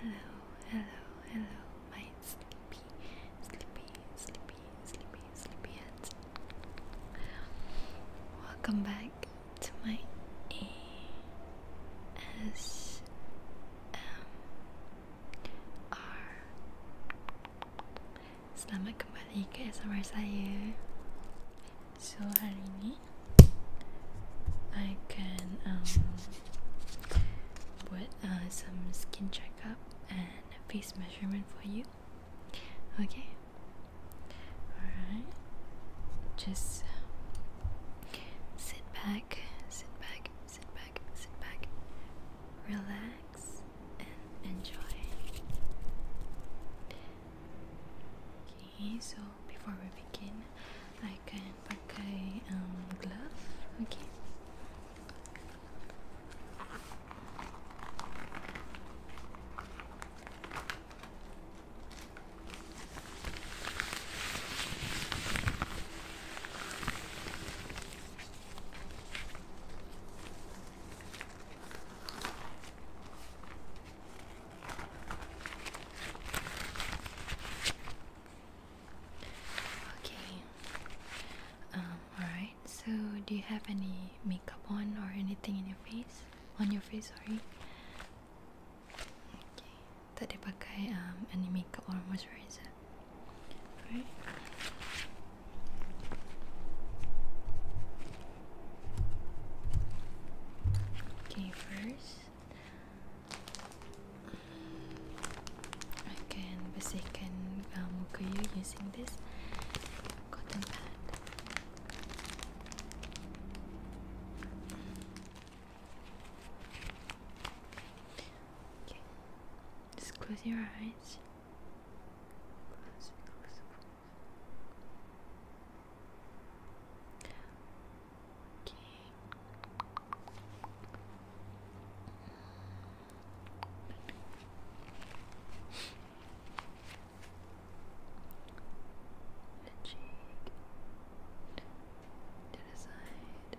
Hello, hello, hello, my sleepy, sleepy, sleepy, sleepy, sleepy Welcome back to my ASMR Selamat kembali ke ASMR saya. So hari ini I can um buat uh, some skin checkup and face measurement for you. Okay. Alright. Just sit back, sit back, sit back, sit back. Relax and enjoy. Okay, so before we begin, I can pakai um, glove, okay? Um, do you have any makeup on or anything in your face? On your face, sorry. Okay. Tak ada pakai um, any makeup or moisturizer. Right. Okay, first I can basican uh, um, mukayu using this cotton pad. Okay, just close your eyes. Okay. the cheek to the side.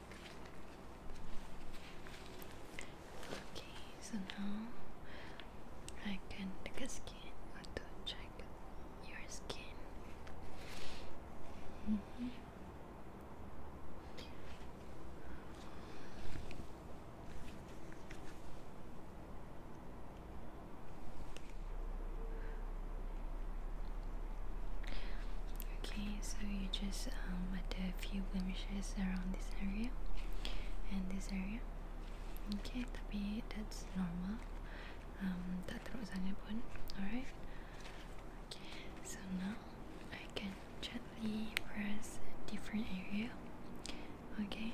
Okay, so now I can take a skin to check your skin. Mm-hmm. Okay, so you just um, add a few blemishes around this area and this area. Okay, tapi that's normal. Um, tak teruk sangat Alright. Okay, so now I can gently press different area. Okay,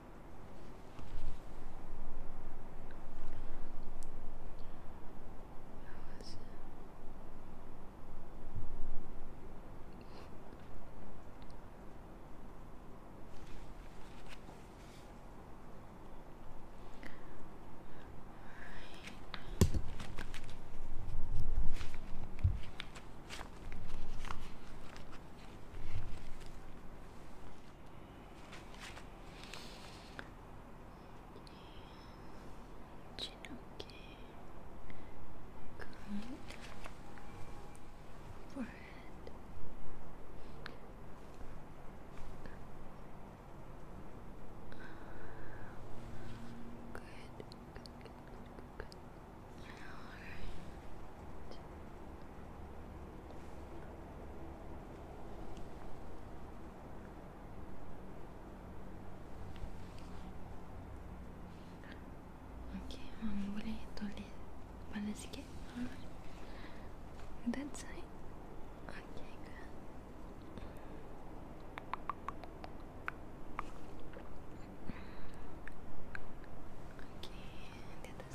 was Right. Chinoki. Good. Forehead. Good. Good. Good. Good. All right. Okay, um, boleh tulis kepala sikit alright that side okay good okay, the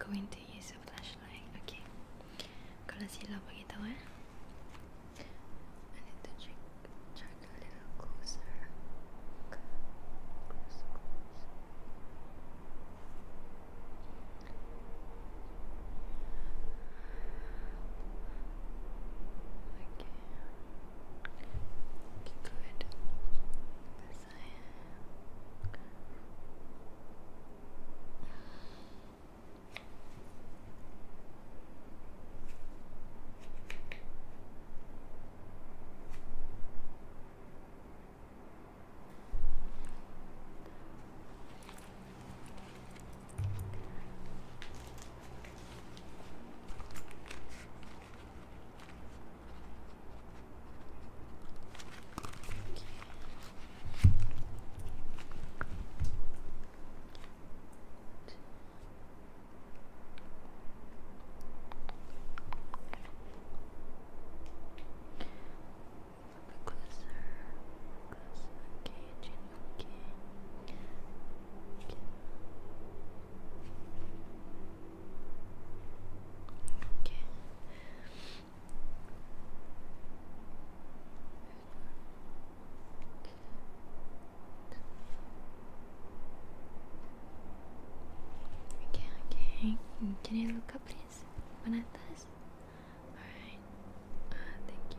I'm going to use a flashlight. Okay. Kalau silap bagi tahu eh. I need to check, a little closer. Okay. Good. Yes, I Closer, closer, okay, okay. Okay. Okay, okay. Can you look up, please? When Alright. Uh, ah, thank you.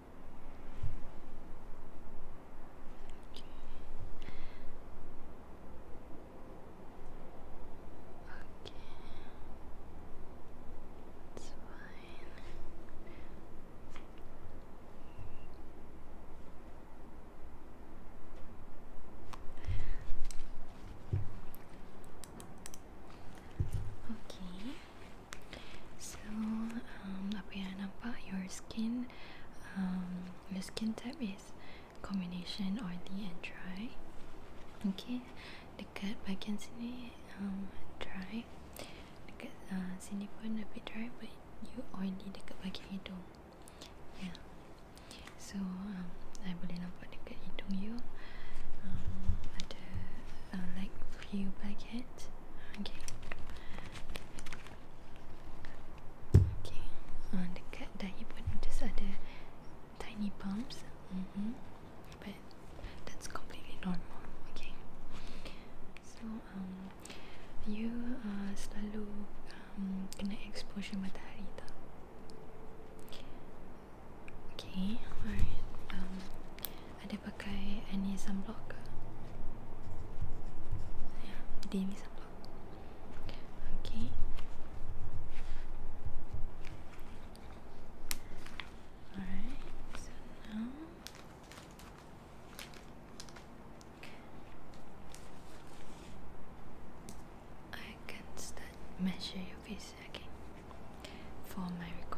It's fine. Okay. So, um, apa yang anda nampak, your skin, um, your skin type is combination oily and dry. Okay, dekat bahagian sini um, dry, dekat uh, sini pun a bit dry, but you oily dekat bahagian hidung. Yeah. So, um, I boleh nampak dekat hidung you um, uh, like few packets. Okay. Okay. Uh, dekat dahi pun just ada tiny bumps. Mm -hmm. But that's completely normal. Okay. So um, you uh, selalu um, kena exposure matahari tak? Okay. Alright. Um, i pakai any sunblock ke? Ya, dia ni sunblock. Okay. Alright, so now I can start measure your face again for my record.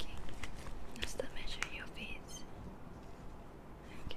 Okay, just to measure your face. Okay.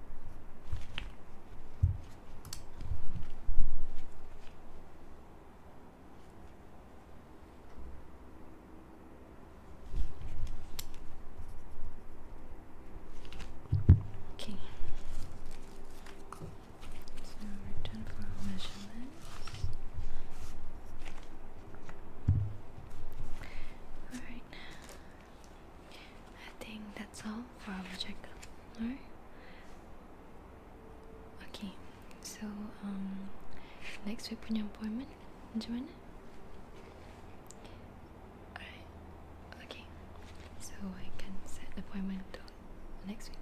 Okay. So we're done for measurements. Alright. I think that's all for our checkup. Alright. Okay, so um, next week we punya appointment macam mana? Alright, okay. So I can set appointment to next week.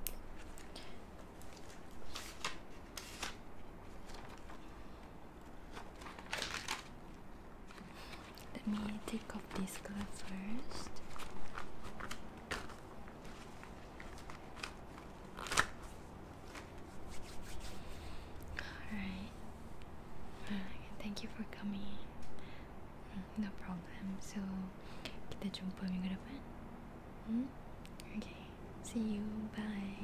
Let me take off this glove first. Alright. Thank you for coming. Mm, no problem. So, kita jumpa minggu depan. Hmm? Okay. See you. Bye.